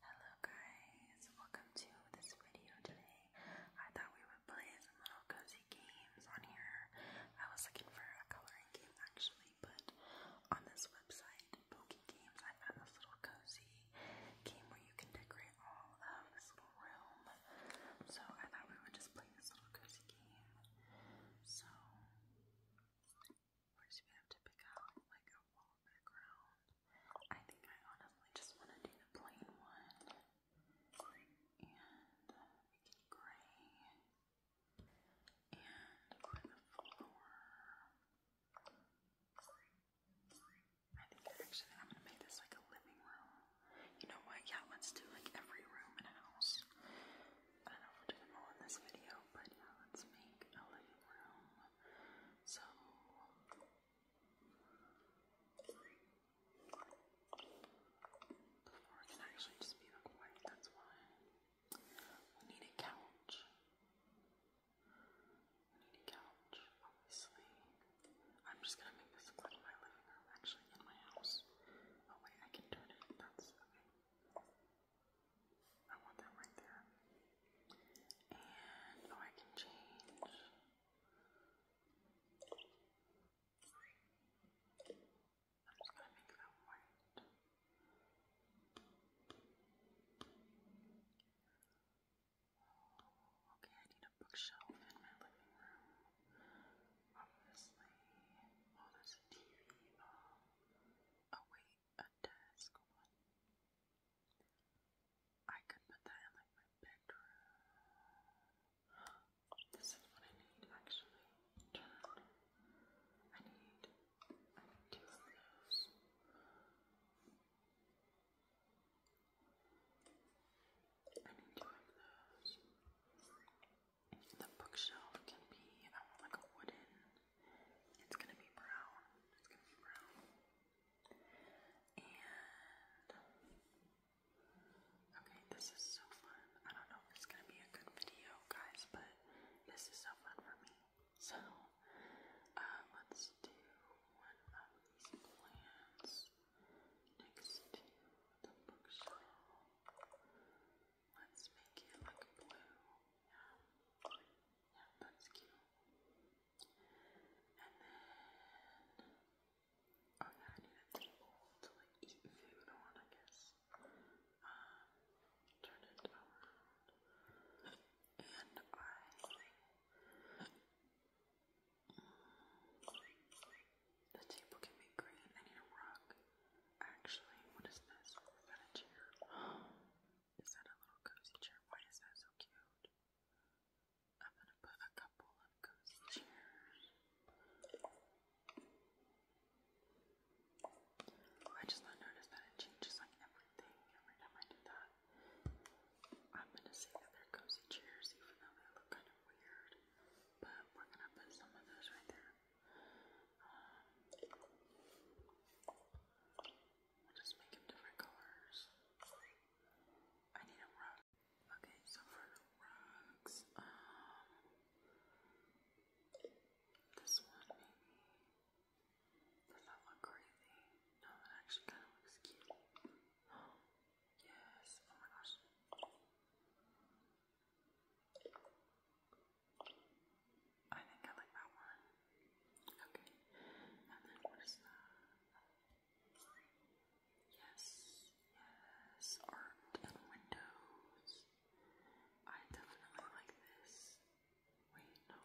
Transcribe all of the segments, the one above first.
Hello guys, welcome to this video today. I thought we would play some little cozy games on here. I was looking for a coloring game actually, but on this website, Pokey Games, I found this little cozy game where you can decorate all of this little room. So I thought we would just play this little cozy game. So or should we have to pick out like a wall background? I think I honestly just want to do the plain one. And gray. And for the floor, I think actually I'm gonna make this like a living room. You know what? Yeah, let's do like every room in a house. I don't know if do them all in this video, but yeah, let's make a living room. So the floor can actually just be like white, that's why. We need a couch. We need a couch, obviously. I'm just gonna make this part of my living room, actually, in my house. Oh wait, I can turn it. That's okay. I want that right there. And oh, I can change. I'm gonna make that white. Okay, I need a bookshelf in my living room. Obviously, oh, TV. Oh, oh, wait, a desk. I could put that in like my bedroom. This is what I need actually. I need two of those. I need two of those. The bookshelf can be um, like a wooden it's gonna be brown. It's gonna be brown. And okay, this is so fun. I don't know if it's gonna be a good video, guys, but this is so fun for me. So um, let's do one of these plants next to the bookshelf. Let's make it like blue. Yeah. Yeah, that's cute. And then, oh yeah, I need a table to like eat food I guess. turn it around. And I the table can be green. I need a rug. Actually, what is this? Is is that a little cozy chair? Why is that so cute? I'm gonna put a couple of cozy chairs. I just noticed that it changes like everything every time I do that. I'm gonna say that they're cozy chairs, even though they look kind of weird. But we're gonna put some of those right there. Um, just make them different colors. I need a rug. Okay, so for the rugs, um, this one maybe. Does that look crazy? No, that actually kind of looks cute. yes. Oh my gosh. I think I like that one. Okay. And then what is that? Yes, yes. Art and windows. I definitely like this. Wait, no.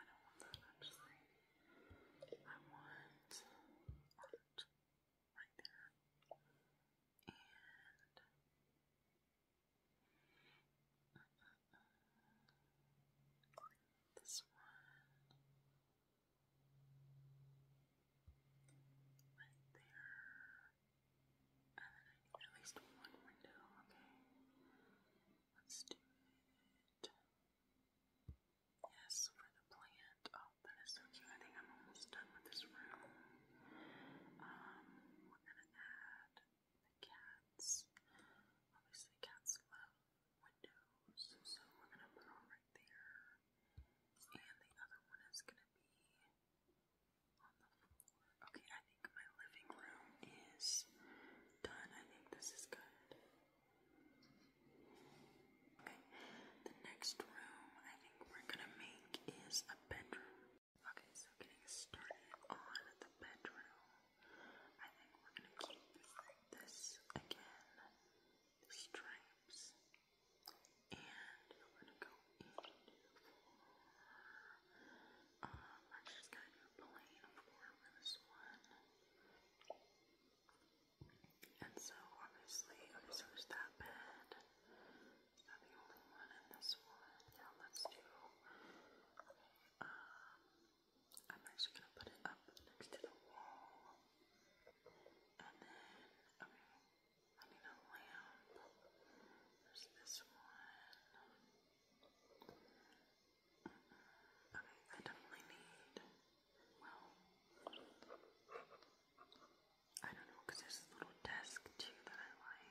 I don't want that actually. I want art right there. And this one right there. And then at least one window, okay? Let's do it. Yes, for the plant. Oh, that is so cute. I think I'm almost done with this room. Um, we're gonna add the cats. Obviously, cats love windows, so we're going to put on right there. And the other one is going to be on the floor. Okay, I think my living room is done. I think this is good. Okay, the next room I think we're going to make is a bedroom. Okay, so getting started on the bedroom, I think we're gonna keep this again, the stripes, and we're gonna go in um, I'm just gonna do plain for this one. And so, obviously, there's that bed. Is that the only one in this one? Yeah, let's do um, I'm actually gonna put it up next to the wall, and then okay, um, I need a lamp. There's this one. Okay, I definitely need. Well, I don't know, cause there's a little desk too that I like.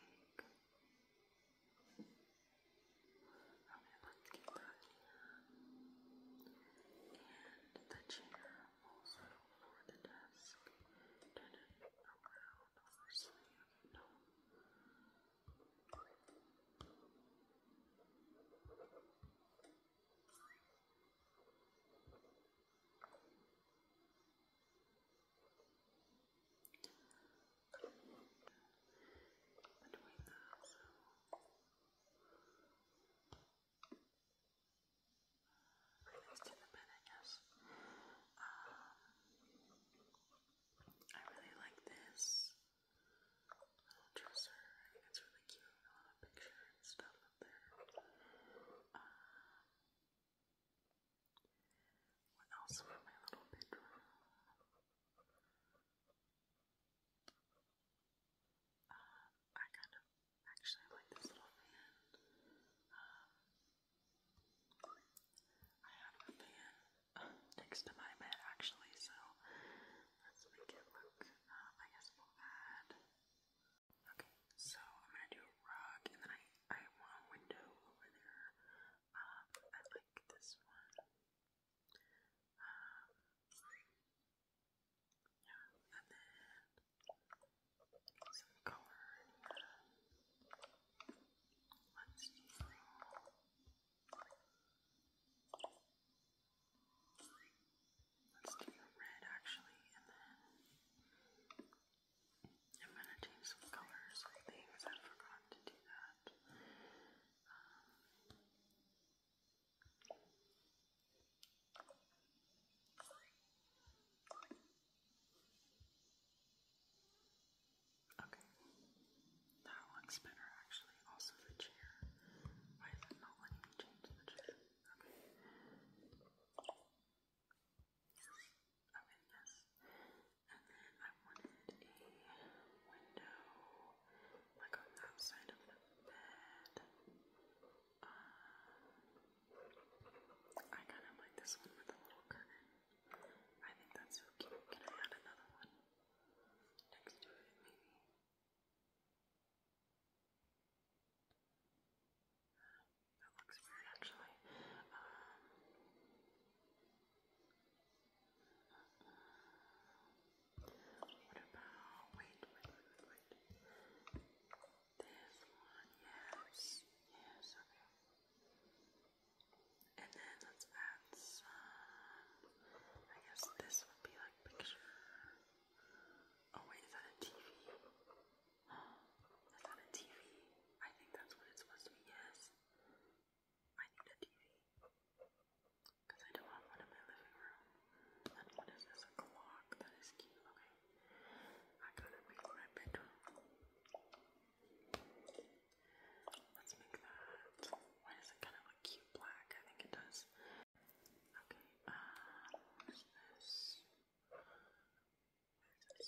And the chair also for the desk didn't around or slam, no between those. At least the bed, I guess. I really like this little dresser. I think it's really cute. A lot of picture and stuff up there. Uh, what else for my little bedroom? Uh, I kind of actually like this little fan. Um, I have a fan uh, next to my bed actually, so let's make it look, I guess we'll add. Okay, so I'm gonna do a rug and then I, I want a window over there. Um, I like this one. yeah, and then some color. Let's do. Let's do red actually, and then I'm gonna change some colors things. I forgot to do that that. Um, Okay, that looks better actually. Also, the chair. Why is it not letting me change the chair? Okay. Okay, yes. And then I wanted a window, like on that side of the bed. I kind of like this one with a little curtain. I think that's so cute. Can I add another one next to it, maybe? That looks great, actually. What about, wait, wait, wait, This one, yes, yes, okay. And then let's add some, I guess this would be like picture. Oh is that a TV? Is that a TV? I think that's what it's supposed to be, yes. I need a TV. Because I don't have one in my living room. And what is this? A clock? That is cute. Okay. I gotta make my bedroom. Let's make that. Why does it kind of look cute black? I think it does. Okay, uh, what is this? What is this?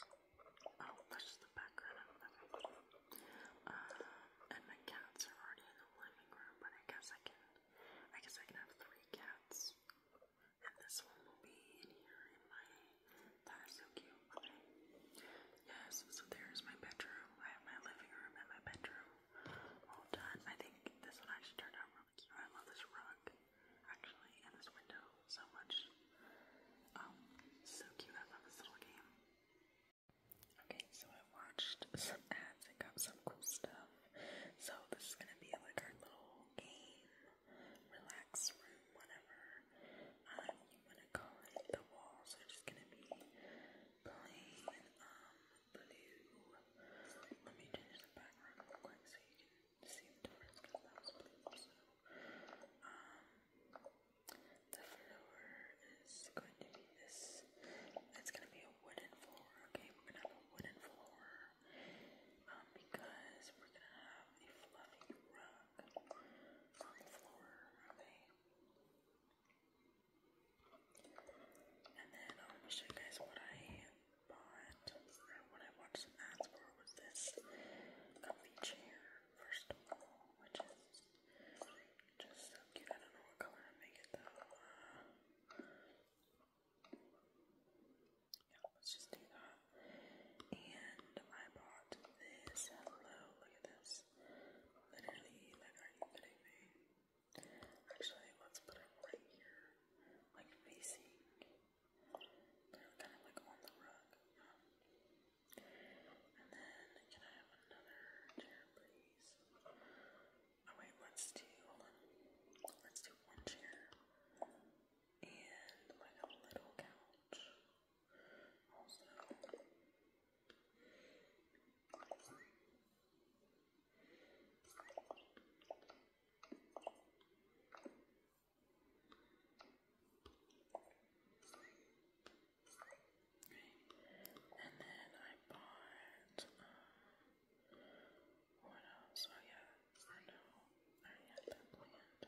Oh, that's just the background. Um, and my cats are already in the living room, but I guess I can, I guess I can have three cats. And this one will be in here in my, that is so cute. Okay. Yes, so there's my bedroom. I have my living room and my bedroom all done. I think this one actually turned out really cute. I love this rug, actually, and this window so much. Um, so cute. I love this little game. Okay, so I watched some ads and got some cool stuff. So this is gonna be like our little game, relax room, whatever um, you wanna call it. The walls are just gonna be plain um blue. Let me change the background real quick so you can see the difference because that was blue also. Um, the floor is going to be this. It's going to be a wooden floor, okay? We're going to have a wooden floor um, because we're going to have a fluffy rug on the floor, okay? And then I'm um, show you guys what I bought, or what I watched ads for was this comfy chair, first of all, which is just so cute. I don't know what color to make it let's just do that. And I bought this. Hello, look at this. Literally, like, are you kidding me? Actually, let's put it right here, like facing. kind of like on the rug. And then, can I have another chair, please? Oh, wait, let's do, hold on. Let's do one chair. And like a little couch. Also, and then I bought, uh, what else? Oh yeah, or no, I already that planned.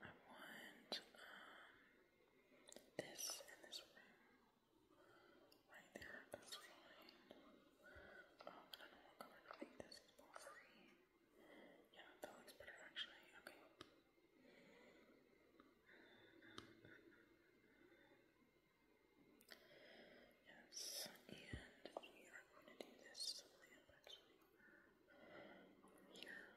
I want, um, this in this room. Right there, that's fine. Um, I don't know what color I think this is more free. Yeah, that looks better actually. Okay. Yes, and we are going to do this lamp actually over here.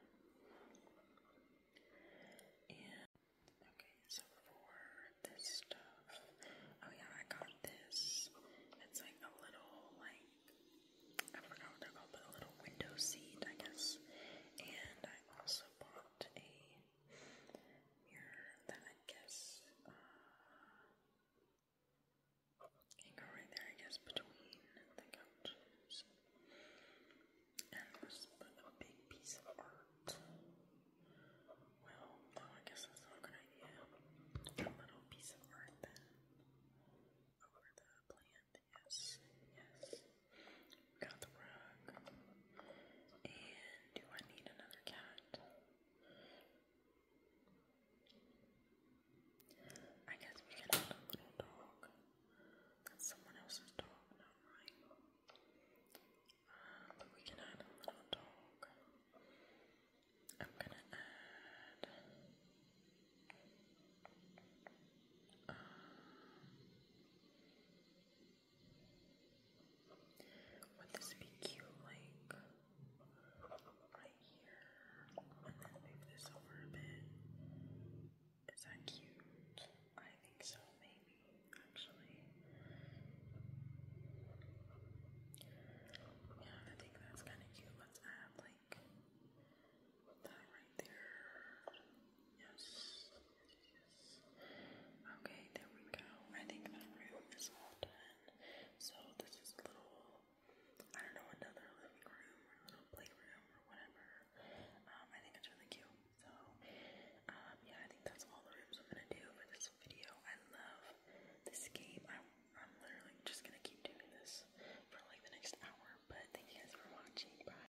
And okay, so for this stuff, oh yeah, I got this. It's like a little like I forgot what they're called, but a little window seat, I guess. And I also bought a mirror that I guess uh, can go right there, I guess, between the couches. And it was big piece of art. Well, I guess that's not a good idea. A little piece of art then. Over the plant, yes, yes. Got the rug. And do I need another cat? I guess we can have a little dog. That's someone else's dog, not mine. Um, but we can add a little dog. I'm gonna add. Would this be cute, like right here? And then move this over a bit. Is that cute? I think so, maybe, actually. Yeah, I think that's kind of cute. Let's add, like, that right there. Yes. Yes. Okay, there we go. I think that room is all So this is a little, I don't know, another living room or um, little playroom or whatever. Um, I think it's really cute. So, um, yeah, I think that's all the rooms I'm gonna do for this video. I love this game. I'm, I'm literally just gonna keep doing this for like the next hour. But thank you guys for watching. Bye.